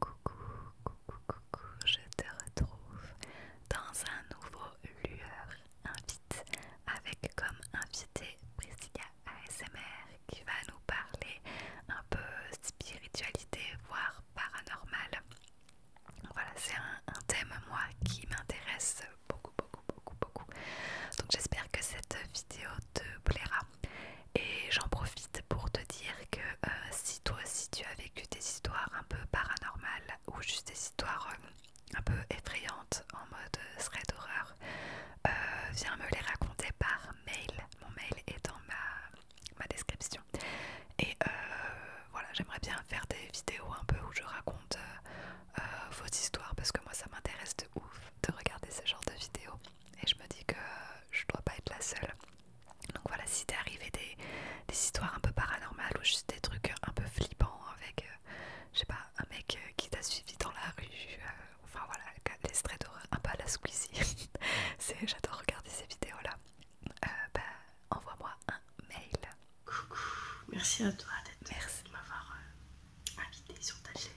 Coucou, coucou, coucou, je te retrouve dans un nouveau Lueur Invite avec comme invité Priscilla ASMR qui va nous parler un peu spiritualité, voire paranormal. Voilà, c'est un, un thème, moi, qui m'intéresse beaucoup, beaucoup, beaucoup, beaucoup. Donc j'espère que cette vidéo te plaira. Et j'en profite pour te dire que euh, si toi aussi tu as vécu des histoires un peu paranormales ou juste des histoires euh, un peu effrayantes en mode euh, thread horreur, viens me les raconter par mail. Mon mail est dans ma, description. Et voilà, j'aimerais bien faire des vidéos un peu où je raconte vos histoires parce que moi ça m'intéresse de ouf de regarder ce genre de vidéos. Et je me dis que je dois pas être la seule donc voilà, si t'es arrivé des, histoires un peu paranormales ou juste des trucs euh, un peu flippants avec, euh, je sais pas, un mec euh, qui t'a suivi dans la rue, enfin voilà, est très un peu à la Squeezie, j'adore regarder ces vidéos-là, bah, envoie-moi un mail. Coucou, merci à toi d'être Merci de m'avoir invité sur ta chaîne.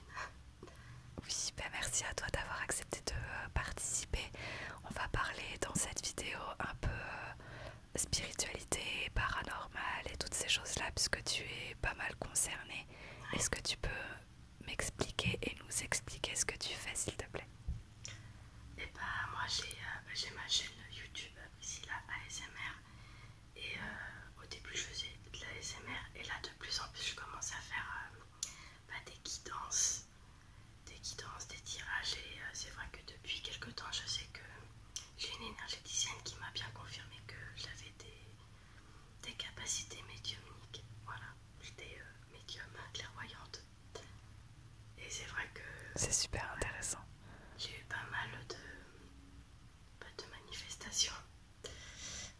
Oui, ben merci à toi d'avoir accepté de euh, participer. On va parler dans cette vidéo un peu euh, spiritualité, paranormal et toutes ces choses-là, puisque tu es pas mal concernée. Est-ce que tu peux m'expliquer et nous expliquer ce que tu fais, s'il te plaît Et eh ben, moi euh, j'ai ma chaîne YouTube, là ASMR, et au début je faisais de l'ASMR, et là de plus en plus je commence à faire. Bah, des guidances, des guidances, des tirages. Et euh, c'est vrai que depuis quelques temps, je sais que j'ai une énergéticienne qui m'a bien confirmé que j'avais des, capacités médiumniques. Voilà, j'étais médiums euh, médium clairvoyante. Et c'est vrai que... C'est super intéressant. J'ai eu pas mal de, bah, de manifestations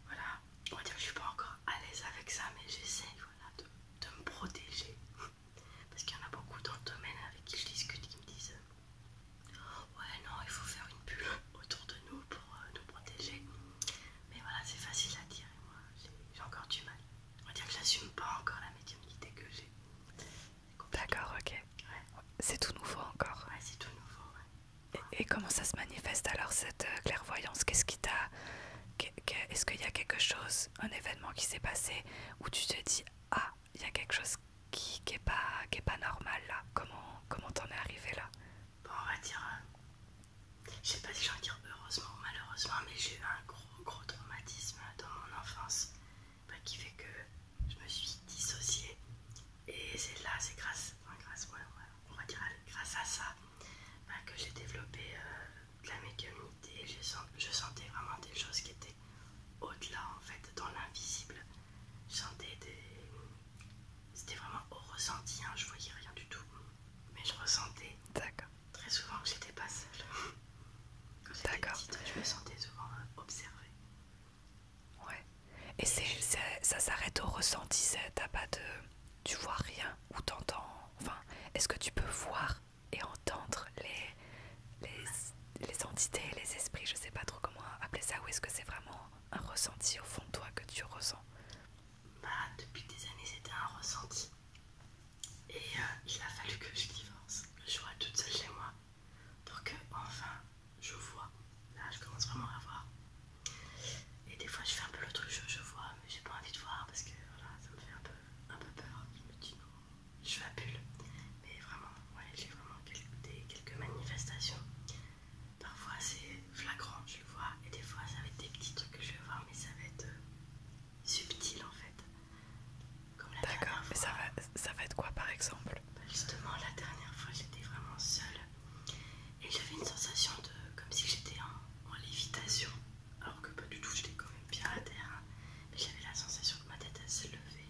voilà, on va dire que je suis pas encore à l'aise avec ça, mais j'essaie voilà, de, me protéger. Parce qu'il y en a beaucoup dans le domaine avec qui je discute qui me disent Ouais, non, il faut faire une bulle autour de nous pour euh, nous protéger. Mais voilà, c'est facile à dire moi j'ai encore du mal. On va dire que j'assume pas encore la médiumnité que j'ai. D'accord, ok. C'est tout nouveau encore. c'est tout nouveau, et, comment ça se manifeste alors cette euh, clairvoyance Qu'est-ce qui t'a. Est-ce qu'il y a quelque chose, un événement qui s'est passé où tu te dis Ah, il y a quelque chose qui n'est pas, qui pas normal là Comment comment t'en es arrivé là on va dire. je euh, je sais pas si j'en dire heureusement ou malheureusement, mais j'ai eu un gros, gros traumatisme dans mon enfance bah, qui fait que je me suis dissociée. Et c'est là, c'est grâce, grâce, on va dire grâce à ça bah, que j'ai développé euh, de la médiumnité. Je, sentais vraiment des choses qui étaient au-delà, en fait, dans l'invisible. Je sentais des. C'était vraiment au ressenti, je hein, je voyais rien du tout. Mais je ressentais très souvent que j'étais pas seule. Quand je me sentais souvent euh, observée. Ouais, et ça s'arrête au ressenti, t'as pas de... Tu vois rien ou t'entends... Enfin, est-ce que tu peux voir et entendre les, les, les entités, les esprits, je sais pas trop comment appeler ça, ou est-ce que c'est vraiment un ressenti au fond de toi que tu ressens Bah, depuis des années, c'était un ressenti. Et euh, il a fallu que je divorce, que je sois toute seule chez moi. pour que, enfin, je vois. Là, je commence vraiment à voir. Et des fois je fais un peu le truc je vois, mais j'ai pas envie de voir parce que voilà, ça me fait un peu, un peu peur. Je me dis non, je fais à Mais vraiment, ouais, j'ai vraiment quelques, manifestations. Parfois c'est flagrant, je vois, et des fois ça va être des petits trucs que je vais voir, mais ça va être euh, subtil en fait. D'accord, mais ça va, ça va être quoi par exemple bah, Justement, la dernière fois j'étais vraiment seule et j'avais une sensation de comme si j'étais en, lévitation, alors que pas du tout, j'étais quand même bien à terre. Mais j'avais la sensation que ma tête elle se lever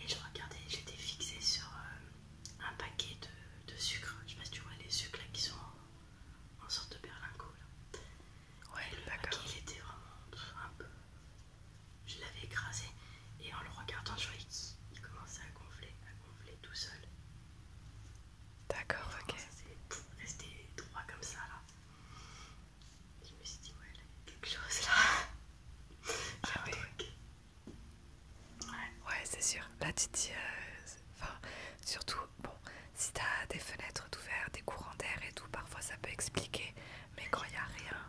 et je regardais, j'étais fixée sur euh, un paquet de, de sucre. Je sais pas si tu vois les sucres là qui sont en, sorte de berlingot là. Ouais, et le paquet il était vraiment un peu. Je l'avais écrasé et en le regardant, je voyais qu'il commençait à gonfler, on voulait tout seul. D'accord, ok. rester droit comme ça là. Je me suis dit, ouais, il y a quelque chose là. Ah oui. ouais. Ouais, c'est sûr. Là, tu euh, enfin, surtout, bon, si t'as des fenêtres ouvertes, des courants d'air et tout, parfois ça peut expliquer. Mais quand il n'y a rien.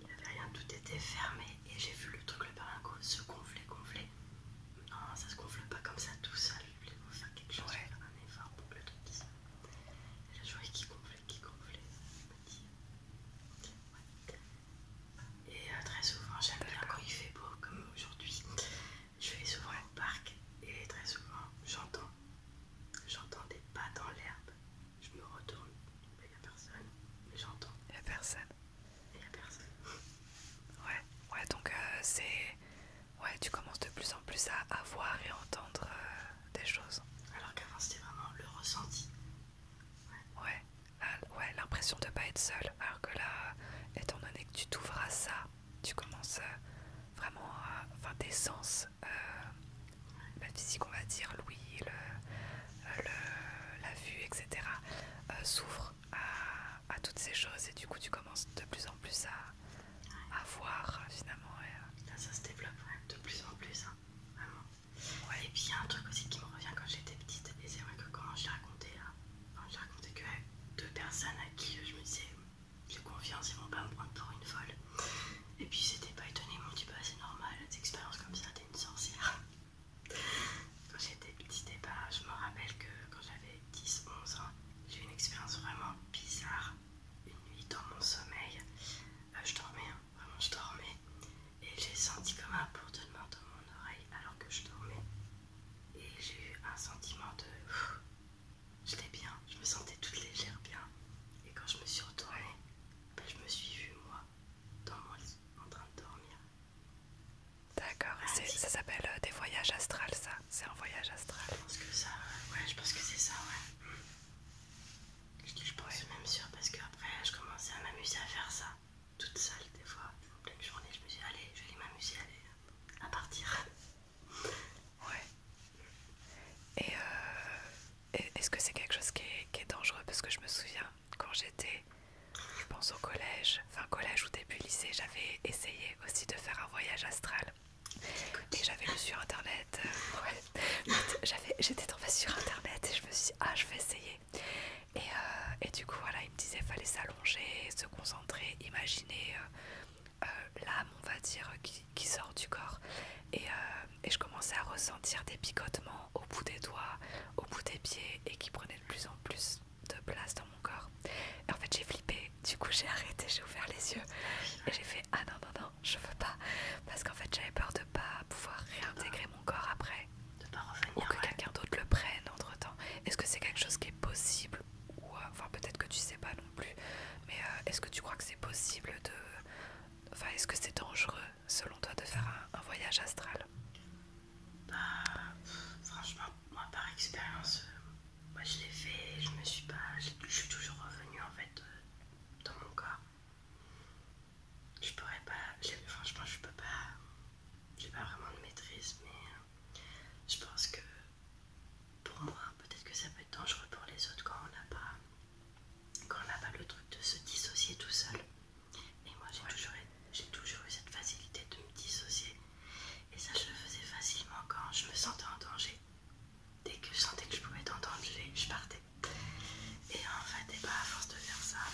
Il n'y avait rien, tout était fermé et j'ai vu le truc, le paringo se gonfler, gonfler. Non, ça se gonfle pas comme ça tout seul. Il faut faire quelque chose, un effort pour que le truc Et je qui gonflait, qui gonflait. Et euh, très souvent, j'aime bien quand il fait beau, comme aujourd'hui. Je vais souvent au parc et très souvent, j'entends. J'entends des pas dans l'herbe. Je me retourne, il n'y a personne, mais j'entends. Il a personne a personne. Ouais, ouais, donc euh, c'est. Ouais, tu commences de plus en plus à, avoir et entendre euh, des choses. Alors qu'avant c'était vraiment le ressenti. Ouais, ouais, l'impression de pas être seul. Alors que là, étant donné que tu t'ouvres ça, tu commences euh, vraiment à. Enfin, des sens, la bah, physique, on va dire, le la vue, etc., euh, s'ouvre à, toutes ces choses et du coup tu commences de plus en plus à, voir finalement. Euh, ça se développe de plus en plus, hein, vraiment. Et puis y a un truc aussi qui me revient quand j'étais petite, et c'est vrai que quand je racontais je que deux personnes à qui je me disais j'ai confiance, ils vont pas me prendre pour une folle. Et puis c'était pas étonné, mon m'ont c'est normal, des expériences comme ça, t'es une sorcière. Quand j'étais petit, petits eh ben, je me rappelle que quand j'avais 10-11 ans, j'ai eu une expérience vraiment bizarre. Une nuit dans mon sommeil, euh, je dormais, hein, vraiment je dormais, et j'ai senti comme un bourdonnement dans mon oreille alors que je dormais. Et j'ai eu un sentiment de. J'étais bien, je me sentais toute légère, bien. Et quand je me suis retournée, ben, je me suis vue moi dans en train de dormir. D'accord, ça s'appelle euh, des voyages astrales, ça. C'est un voyage astral. Je pense que ça, ouais, je pense que c'est ça, ouais. Je, suis pense même sûr parce qu'après, je commençais à m'amuser à faire ça toute seule, des fois, en pleine journée. Je me suis dit, allez, je vais aller m'amuser à, partir. Ouais. Euh, et est-ce que c'est quelque chose qui est dangereux Parce que je me souviens quand j'étais, je pense au collège, fin collège ou début lycée, j'avais essayé aussi de faire un voyage astral. Et j'avais lu sur internet, j'étais euh, j'étais tombée sur internet et je me suis dit, ah, je vais essayer. Et, euh, du coup, voilà, il me disait, fallait s'allonger, se concentrer, imaginer euh, l'âme, on va dire, qui, sort du corps. Et, euh, et je commençais à ressentir des picotements au bout des doigts, au bout des pieds et qui prenaient de plus en plus de place dans mon corps. en fait, j'ai flippé, du coup, j'ai arrêté, j'ai ouvert les yeux et j'ai fait Ah non, non, non, je veux pas parce qu'en fait, j'avais peur de pas pouvoir réintégrer mon corps après ou que quelqu'un d'autre le prenne entre temps. Est-ce que c'est quelque chose qui est possible ou euh, enfin, peut-être que tu sais pas non plus, mais euh, est-ce que tu crois que c'est possible de. Enfin, est-ce que c'est dangereux selon toi, de faire un, voyage astral Bah, franchement, moi par expérience, euh, moi je l'ai fait, je me suis pas. Je suis toujours revenue en fait euh, dans mon corps. Je pourrais pas. Franchement, je peux pas. J'ai pas vraiment de maîtrise, mais euh, je pense que pour moi, peut-être que ça peut être dangereux pour les autres quand on n'a pas quand n'a pas le truc de se dissocier tout seul. Et moi j'ai toujours, eu cette facilité de me dissocier. Et ça je le faisais facilement quand je me sentais en danger. Dès que je sentais que je pouvais être en danger, je partais. Et en fait, et pas bah, à force de faire ça,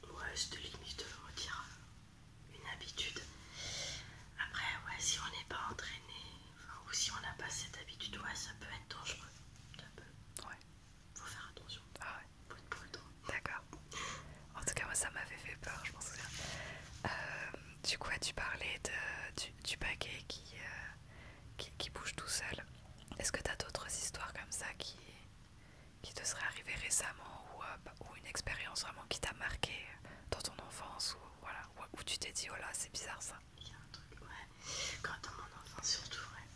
ben, ouais, de' de limite de une habitude. Après, ouais, si on n'est pas entraîné, ou si on n'a pas cette habitude, ouais, ça peut être dangereux. Ça peut. Ouais. Faut faire attention. Ah ouais. Faut D'accord. En tout cas, moi ça m'avait fait peur, je pense. Euh, du coup, tu parlais de, du, paquet euh, qui, qui, bouge tout seul. Est-ce que tu as d'autres histoires comme ça qui, qui te seraient arrivées récemment ou, euh, bah, ou une expérience vraiment qui t'a marqué dans ton enfance ou, voilà, où tu t'es dit, oh là, c'est bizarre ça il y a un truc, ouais. Quand on mon enfant surtout, ouais.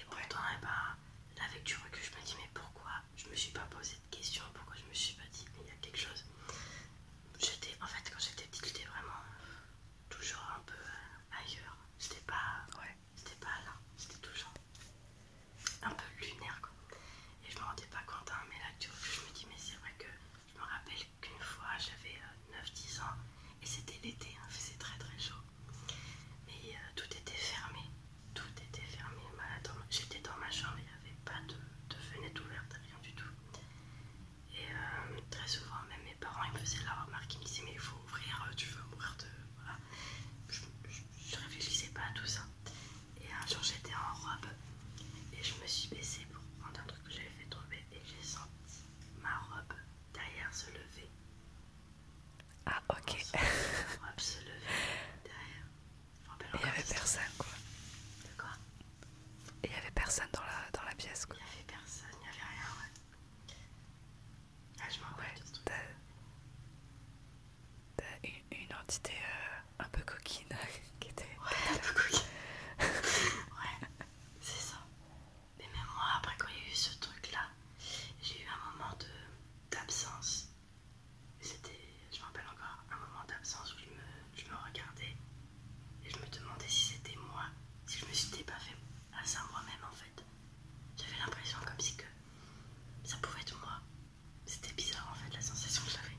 Et pourtant, eh ben, là, avec du recul, je me dis, mais pourquoi je me suis pas posé de questions Pourquoi je me suis pas dit, mais il y a quelque chose J'étais, en fait, quand j'étais petite, j'étais vraiment toujours un peu euh, ailleurs. C'était pas, c'était pas là, c'était toujours un peu lunaire, quoi. Et je me rendais pas compte, hein, mais là, du que je me dis, mais c'est vrai que je me rappelle qu'une fois j'avais 9-10 euh, ans et c'était l'été, hein, il faisait très très chaud. Mais euh, tout était fermé, tout était fermé. Bah, j'étais dans ma chambre, il n'y avait pas de, fenêtre ouverte, rien du tout. Et euh, très souvent, même mes parents ils me faisaient la remarque, ils me disaient Mais il faut ouvrir, tu veux mourir de. Je ne réfléchissais pas à tout ça. Et un jour, j'étais en robe et je me suis baissée pour prendre un truc que j'avais fait tomber et j'ai senti ma robe derrière se lever. Ah ok. ma robe se lever derrière. Il n'y avait personne quoi. De quoi Il n'y avait personne dans la, dans la pièce quoi. Il n'y avait personne, il n'y avait rien ouais. Ah je m'en ouais, T'as une, entité euh, un peu coquine qui était... Ouais, un peu coquine. ouais. C'est ça. Mais même moi, après quand il y a eu ce truc-là, j'ai eu un moment d'absence. C'était, je me rappelle encore, un moment d'absence où je me, regardais et je me demandais si c'était moi, si je me suis pas fait à ça moi-même en fait. J'avais l'impression comme si que ça pouvait être moi. C'était bizarre en fait la sensation que j'avais.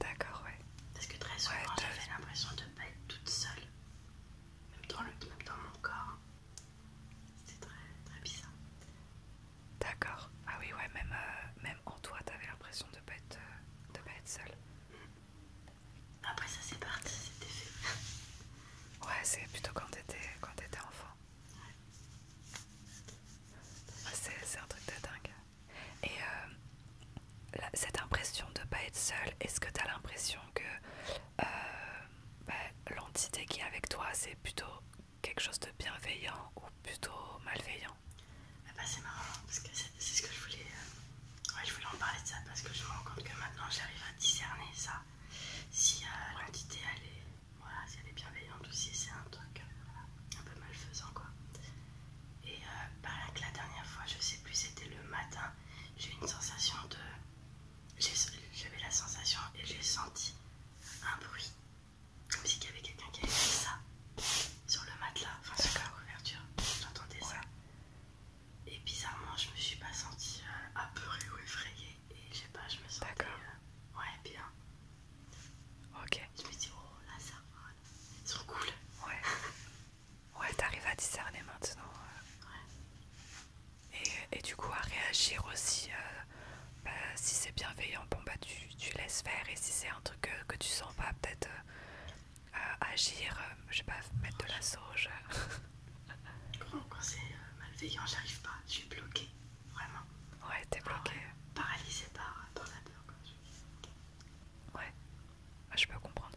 D'accord, ouais. Parce que très souvent, j'avais l'impression de ne pas être toute seule, même dans, le, mon corps. C'était très, bizarre. D'accord. Ah oui, ouais, même, euh, même en toi, t'avais l'impression de ne euh, pas, être seule. Mmh. Après, ça c'est parti, c'était fait. ouais, c'est plutôt quand t'étais quand enfant. Ouais. C'est un truc de dingue. Et euh, cette impression de ne pas être seule, est-ce que tu as l'impression que euh, bah, l'entité qui est avec toi, c'est plutôt quelque chose de bienveillant ou plutôt malveillant ah bah, C'est marrant, hein, parce que c'est ce que je voulais... Euh, je voulais en parler de ça, parce que je me rends compte que maintenant j'arrive à discerner ça. Si l'entité, elle est... si elle est bienveillante ou si c'est un truc un peu malfaisant, quoi. Et pareil euh, bah, que la dernière fois, je sais plus, c'était le matin, j'ai une sensation de. J'avais la sensation et j'ai senti un bruit, comme si il y avait quelqu'un qui avait fait ça sur le matelas, enfin sur la couverture. J'entendais ça. Et bizarrement, je me suis pas sentie euh, apeurée ou effrayée. Et je sais pas, je me sentais. D'accord. Euh, ouais, bien. Ok. Je me dit, oh là, ça va. Ils cool. Ouais. Ouais, t'arrives à discerner maintenant. Euh. Ouais. Et, du coup à réagir aussi. Euh, bah, si c'est bienveillant, bon bah tu, laisses faire. Et si c'est un truc que, tu sens pas, peut-être euh, agir, je sais pas, mettre de la sauge. Quand, quand c'est malveillant, j'arrive pas, je suis bloquée, vraiment. Ouais, t'es bloquée. paralysé paralysée par, la peur. Ouais, ah, je peux comprendre.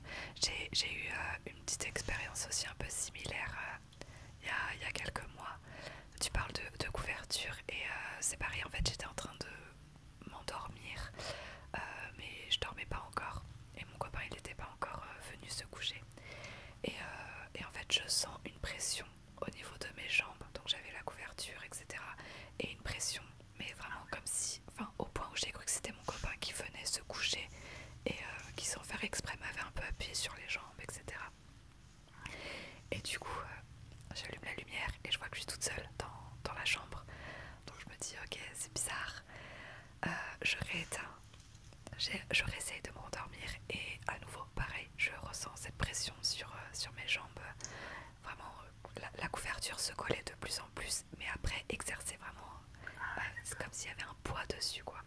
J'ai eu euh, une petite expérience aussi un peu similaire euh, il y, a quelques mois. Tu parles de, couverture et euh, c'est pareil, en fait j'étais en train de m'endormir, mais je dormais pas encore et mon copain il n'était pas encore venu se coucher. Et, et en fait je sens une pression au niveau de mes jambes, donc j'avais la couverture, etc. Et une pression mais vraiment comme si, enfin au point où j'ai cru que c'était mon copain qui venait se coucher et euh, qui sans faire exprès m'avait un peu appuyé sur les jambes, etc. Et du coup, euh, j'allume la lumière et je vois que je suis toute seule dans, la chambre. Donc je me dis, ok, c'est bizarre. Euh, je rééteins, je réessaye de m'endormir et à nouveau, pareil, je ressens cette pression sur mes jambes vraiment euh, la, couverture se collait de plus en plus mais après exercer vraiment euh, ah. c'est comme s'il y avait un poids dessus quoi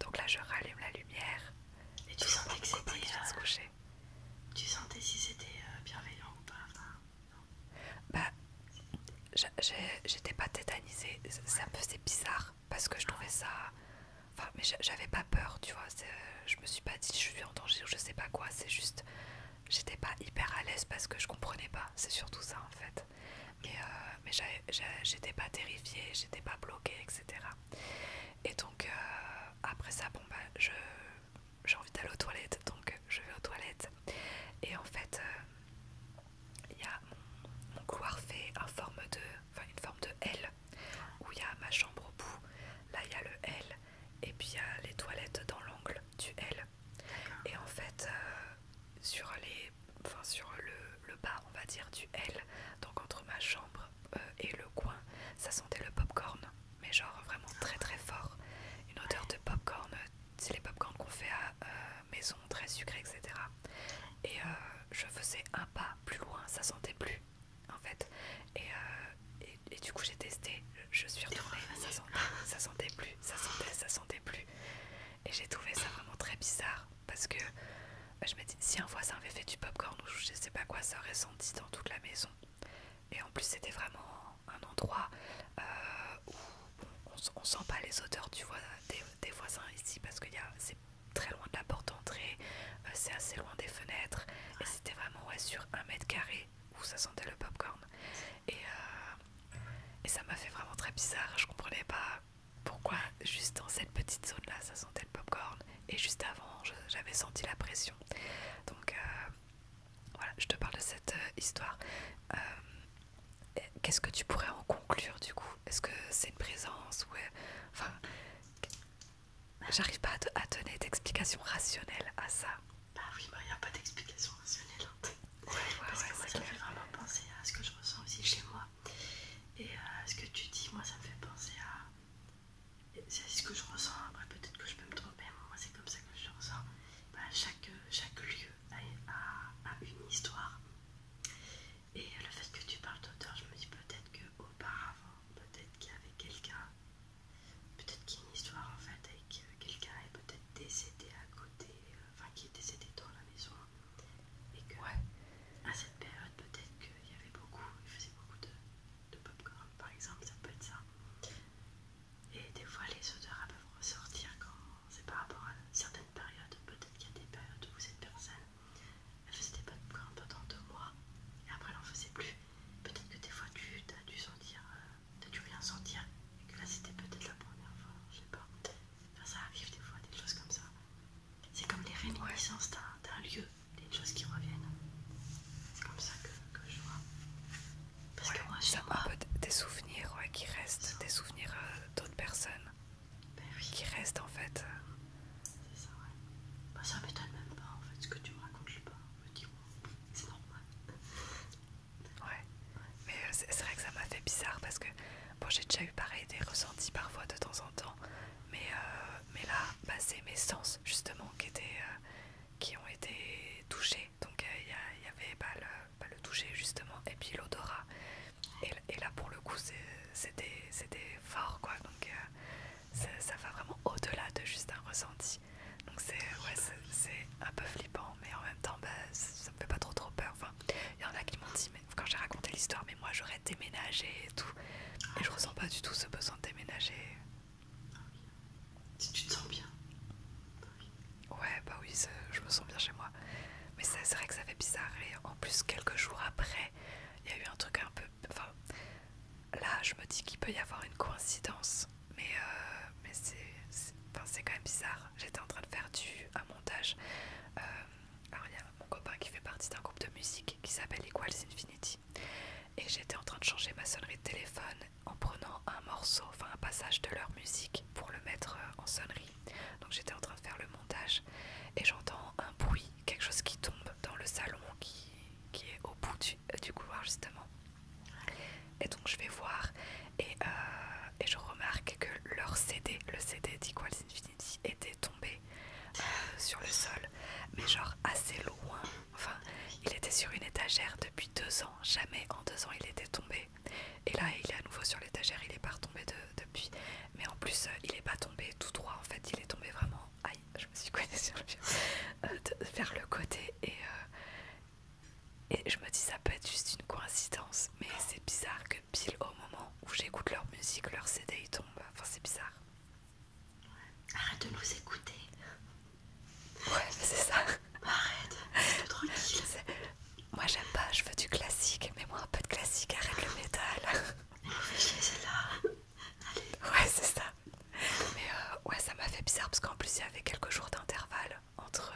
donc là je rallume la lumière et tu sentais que c'était euh, tu sentais si c'était bienveillant ou pas Ben, j'étais pas tétanisée ça me faisait bizarre parce que je trouvais ah. ça enfin mais j'avais pas peur tu vois je me suis pas dit je suis en danger je sais pas quoi c'est juste j'étais pas hyper à l'aise parce que je comprenais pas c'est surtout ça en fait mais, euh, mais j'étais pas terrifiée j'étais pas bloquée etc et donc euh, après ça bon bah j'ai envie d'aller aux toilettes donc je vais aux toilettes et en fait euh, il y a mon, couloir fait en forme de, une forme de L où il y a ma chambre au bout là il y a le L et puis il y a les toilettes dans l'angle du L. Et en fait, euh, sur, sur le, bas, on va dire, du L, donc entre ma chambre euh, et le coin, ça sentait le popcorn, mais genre vraiment ah. très très fort. Une odeur de popcorn, c'est les popcorn qu'on fait à euh, maison, très sucré, etc. Et je faisais un pas plus loin, ça sentait plus en fait. Euh, et, du coup, j'ai testé, je suis retournée, ça, sentait plus, ça sentait, ça sentait plus. Et j'ai trouvé ça vraiment très bizarre parce que euh, je me dis, si un voisin avait fait du popcorn ou je sais pas quoi, ça aurait senti dans toute la maison. Et en plus, c'était vraiment un endroit euh, où on, sent pas les odeurs tu vois, des, voisins ici parce que c'est très loin de la porte d'entrée, c'est assez loin des fenêtres. Et c'était sur un mètre carré où ça sentait le pop Et, euh, et ça m'a fait vraiment très bizarre. Je comprenais pas pourquoi juste dans cette petite zone là ça sentait le popcorn. Et juste avant j'avais senti la pression. Donc euh, voilà, je te parle de cette euh, histoire. Qu'est-ce que tu pourrais en conclure du coup Est-ce que c'est une présence ou enfin J'arrive pas à, donner d'explication rationnelle à ça. Bah oui, il bah, n'y a pas d'explication rationnelle. Hein. Parce que moi, ça me fait vraiment penser à ce que je ressens aussi chez moi. Et euh, ce que tu dis, moi, ça me fait penser à. C'est ce que je ressens. Après, peut-être que je peux me tromper, moi, c'est comme ça que je ressens. Bah, chaque, chaque lieu a, une histoire. Et le fait que tu parles d'auteur, je me dis peut-être qu'auparavant, peut-être qu'il y avait quelqu'un, peut-être qu'il y a une histoire en fait avec euh, quelqu'un est peut-être décédé à côté, euh, enfin qui est décédé dans la maison, et que à cette période peut-être qu'il y avait beaucoup, il faisait beaucoup de, de popcorn par exemple, ça peut être ça. Et des fois les odeurs peuvent ressortir quand c'est par rapport à certaines périodes, peut-être qu'il y a des périodes où cette personne elle faisait des popcorn pendant deux mois et après elle en faisait plus. Peut-être que des fois tu as dû sentir, euh, tu as dû rien sentir et que là c'était peut-être la première fois, je sais pas. Enfin, ça arrive des fois, des choses comme ça. C'est comme les réminiscences d'un lieu, des choses qui reviennent. C'est comme ça que, je vois. Parce que moi, je pas... un peu des souvenirs qui restent, des souvenirs euh, d'autres personnes ben qui restent en fait. Euh, c'est ça, ouais. Bah, ça m'étonne même pas en fait ce que tu me racontes, je sais pas. me dis, c'est normal. Ouais. Mais euh, c'est vrai que ça m'a fait bizarre parce que bon, j'ai déjà eu pareil des ressentis parfois de temps en temps. Mais, euh, mais là, bah, c'est mes sens justement qui, étaient, euh, qui ont été touchés. Donc il y, avait bah, bah, le, toucher justement et puis l'odorat. Et, là pour le coup c'était fort quoi. Donc ça, va vraiment au-delà de juste un ressenti. Donc c'est ouais, un peu flippant, mais en même temps, bah, ça me fait pas trop trop peur. Enfin, il y en a qui m'ont dit, quand j'ai raconté l'histoire, mais moi j'aurais déménagé et tout. et je ressens pas du tout ce besoin de déménager. Si tu te sens bien. Ouais, bah oui, je me sens bien chez moi. Mais c'est vrai que ça fait bizarre. Et en plus, quelques jours après, il y a eu un truc un peu Enfin, là, je me dis qu'il peut y avoir une coïncidence, mais, euh, c'est quand même bizarre. J'étais en train de faire du, un montage. Euh, alors, il y a mon copain qui fait partie d'un groupe de musique qui s'appelle Equals Infinity, et j'étais en train de changer ma sonnerie de téléphone en prenant un morceau, enfin un passage de leur musique pour le mettre euh, en sonnerie. Donc, j'étais en train de faire le montage et j'entends un bruit, quelque chose qui tombe dans le salon qui, qui est au bout du, euh, couloir justement. Et donc je vais voir et, euh, je remarque que leur CD, le CD d'Equals Infinity était tombé euh, sur le sol, mais genre assez loin. Enfin, il était sur une étagère depuis deux ans, jamais en deux ans il était tombé. Et là il est à nouveau sur l'étagère, il est pas tombé de, mais en plus, euh, il est pas tombé tout droit, en fait, il est tombé vraiment. Aïe, je me suis coincée sur le pied. Euh, vers le côté et. Euh, et je me dis ça peut être juste une coïncidence, mais c'est bizarre que pile au moment où j'écoute leur musique, leur CD il tombe. Enfin c'est bizarre. Arrête de nous écouter. Ouais c'est ça. Bah, arrête. tranquille. Moi j'aime pas, je veux du classique, mais moi un peu de classique, arrête le métal là Ouais, c'est ça. Mais euh, ouais, ça m'a fait bizarre parce qu'en plus il y avait quelques jours d'intervalle entre,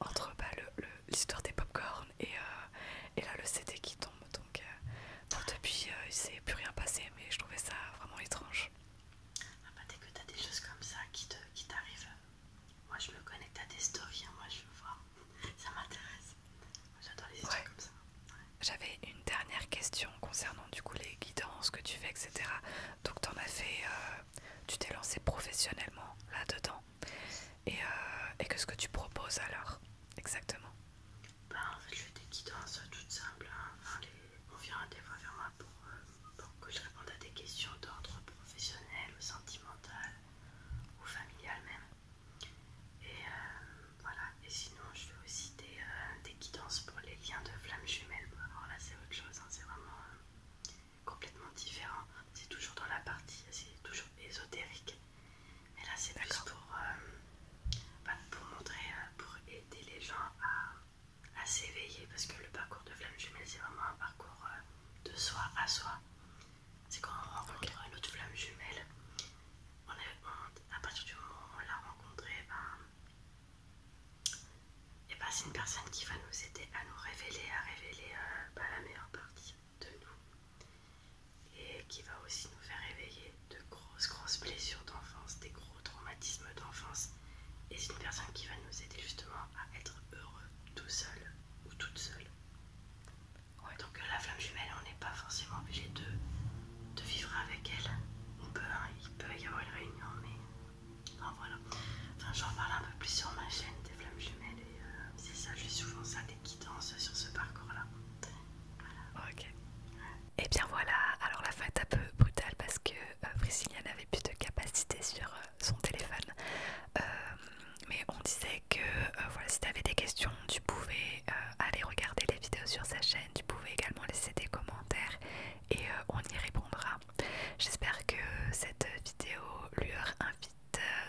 entre bah, l'histoire des popcorns et, euh, là le CD qui tombe. Donc euh, depuis il il s'est plus rien passé, mais je trouvais ça vraiment étrange. Ah bah, dès que t'as des choses comme ça qui t'arrivent, qui moi je me connecte à des stories, hein, moi je veux voir ça m'intéresse. comme ça. J'avais une dernière question concernant du coup les guidances que tu fais, etc. Donc en as fait, euh, tu t'es lancé professionnellement là-dedans. Et, euh, qu'est-ce que tu proposes alors exactement bah, en fait je fais des guidances euh, toutes simples. Hein. On vient des fois vers moi pour, pour que je réponde à des questions d'ordre professionnel, sentimental ou familial même. Et euh, voilà, et sinon je fais aussi euh, des, guidances pour les liens de flammes jumelles. Alors là c'est autre chose, hein. c'est vraiment euh, complètement différent. C'est toujours dans la partie, c'est toujours ésotérique. Mais là c'est plus bah, pour, montrer, pour aider les gens à, s'éveiller. Parce que le parcours de flammes jumelles c'est vraiment un parcours de soi à soi. C'est quand on rencontre une autre flamme jumelle. On à partir du moment où on l'a rencontrée, et eh ben, eh ben, c'est une personne qui va nous aider à nous révéler, à révéler euh, bah, la meilleure partie de nous. Et qui va aussi nous faire réveiller de grosses, grosses blessures d'enfance, des gros traumatismes d'enfance. Et c'est une personne qui va nous aider justement à être heureux tout seul ou toute seule. Donc euh, la flamme jumelle, on n'est pas forcément obligé de, vivre avec elle. On peut, hein, il peut y avoir une réunion, mais enfin, voilà. Enfin, j'en parle un peu plus sur ma chaîne des flammes jumelles et euh, c'est ça, je souvent ça des guidances sur ce parcours-là. Ok. Et eh bien voilà, alors la fin est un peu brutale parce que euh, Priscilla n'avait plus de capacité sur son téléphone. Euh, mais on disait que euh, voilà, si tu avais des questions, tu pouvais euh, aller regarder les vidéos sur sa chaîne, tu pouvais également laisser des commentaires et on y répondra. J'espère que cette vidéo Lueur Invite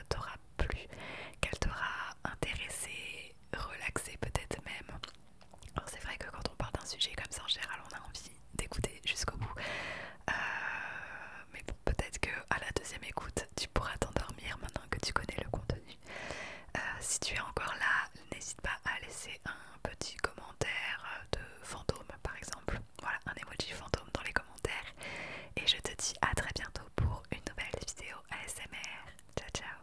t'aura plu, qu'elle t'aura intéressé, relaxé peut-être même. Alors c'est vrai que quand on parle d'un sujet comme ça en général on a envie d'écouter jusqu'au bout peut-être que à la deuxième écoute, tu pourras t'endormir maintenant que tu connais le contenu. Euh, si tu es encore là, n'hésite pas à laisser un petit commentaire de fantôme, par exemple. Voilà, un emoji fantôme dans les commentaires. Et je te dis à très bientôt pour une nouvelle vidéo ASMR. Ciao, ciao.